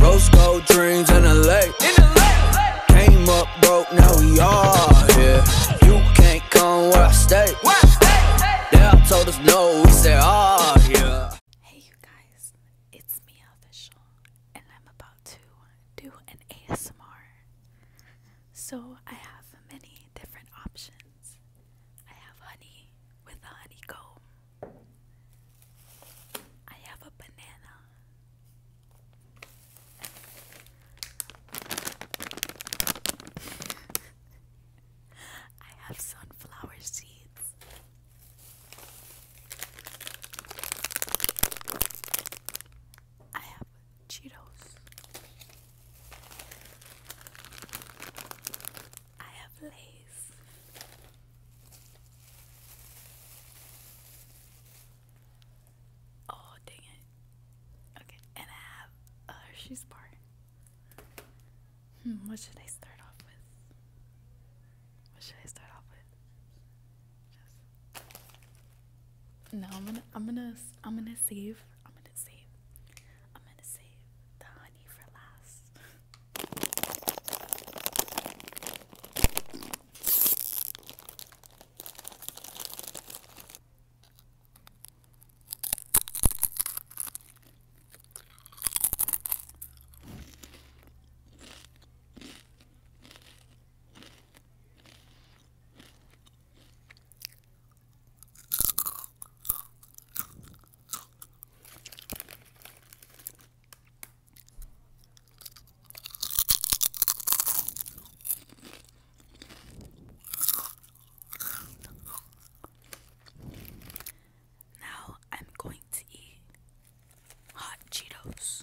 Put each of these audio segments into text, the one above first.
Rose gold dreams in the lake. Came up broke, now we all here. You can't come where I stay. They told us no, we said all oh, Hey you guys, it's me official, and I'm about to do an ASMR. So I have many different options. I have honey with a honeycomb. I have a banana. I have sunflower seeds. I have Cheetos. I have lace. Oh, dang it. Okay, and I have a she's bar. Hmm, what should I start off with? What should I start off with? No, I'm gonna, I'm gonna, I'm gonna save. I'm gonna save the honey for last. Now I'm going to eat hot Cheetos.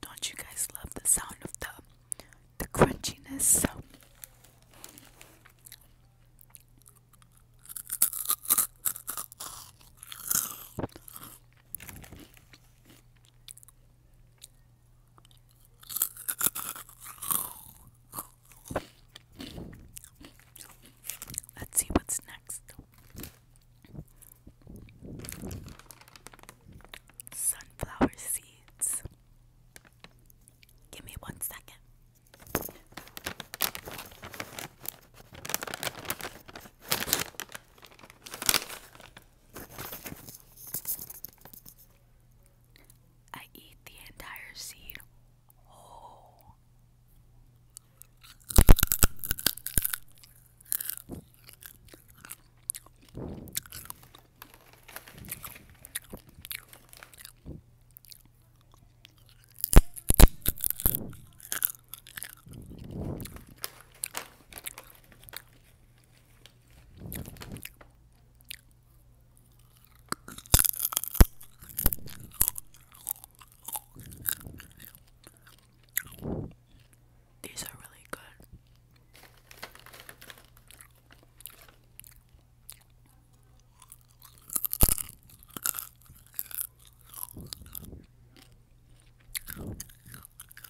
Don't you guys love the sound of the the crunchiness? Let's see what's next. Sunflower seeds. Give me one second. I eat the entire seed whole. These are really good.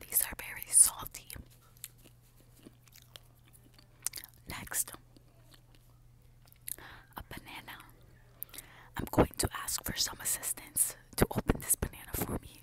These are very salty. Next, a banana. I'm going to ask for some assistance to open this banana for me.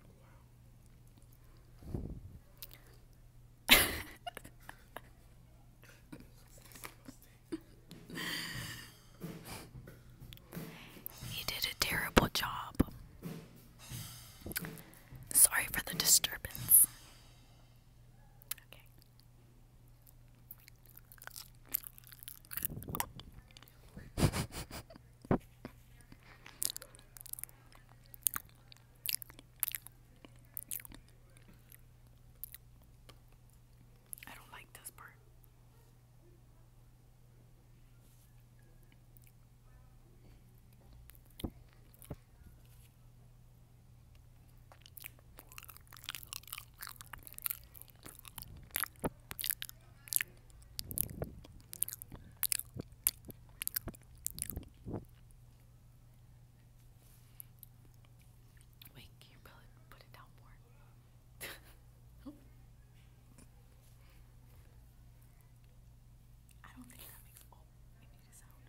Wow. did a terrible job. Sorry for the disturbance. Okay. I don't like this part. Wait, can you put it down more? oh. I don't think that makes. Oh, it made a sound.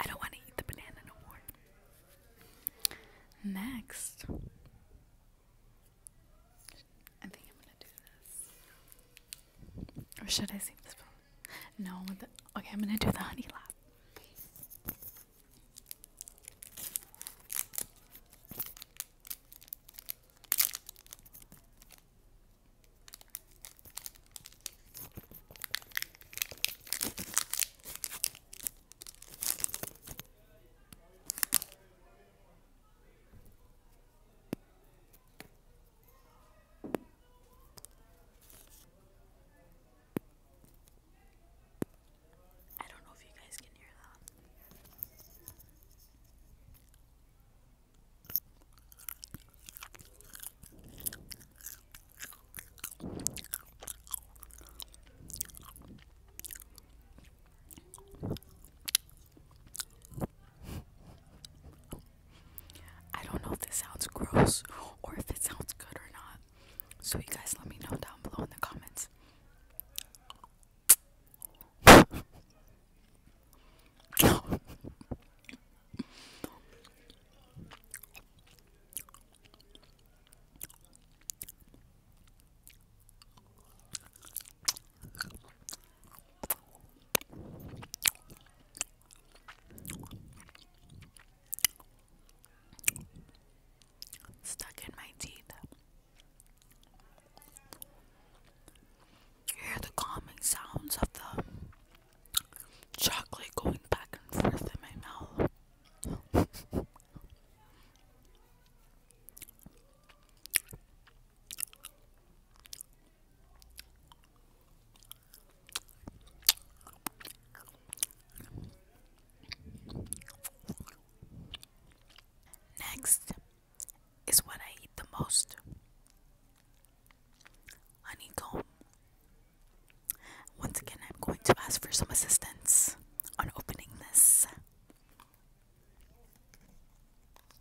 I don't want to eat the banana no more. Next, I think I'm gonna do this. Or should I save this no, the, okay, I'm gonna do the honey lap. I don't know if you guys can hear that. I don't know if this sounds gross or if it sounds good or not. So, you guys let me know down below in the comments. Stuck in my teeth. hear the calming sounds of the chocolate going back and forth in my mouth. Next is what I eat the most honeycomb. Once again, I'm going to ask for some assistance on opening this.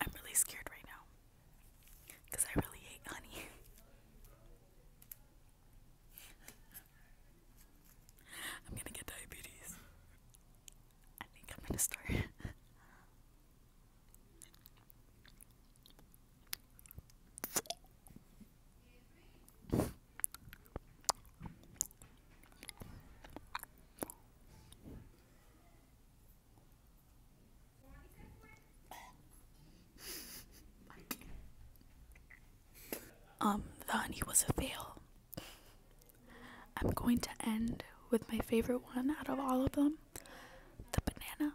I'm really scared right now because I really hate honey. I'm gonna get diabetes. I think I'm gonna start. Um, the honey was a fail. I'm going to end with my favorite one out of all of them the banana.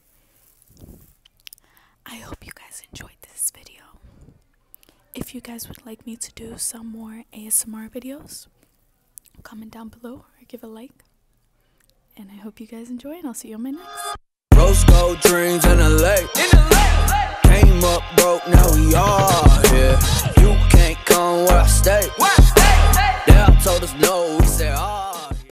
I hope you guys enjoyed this video. If you guys would like me to do some more ASMR videos, comment down below or give a like. And I hope you guys enjoy and I'll see you on my next.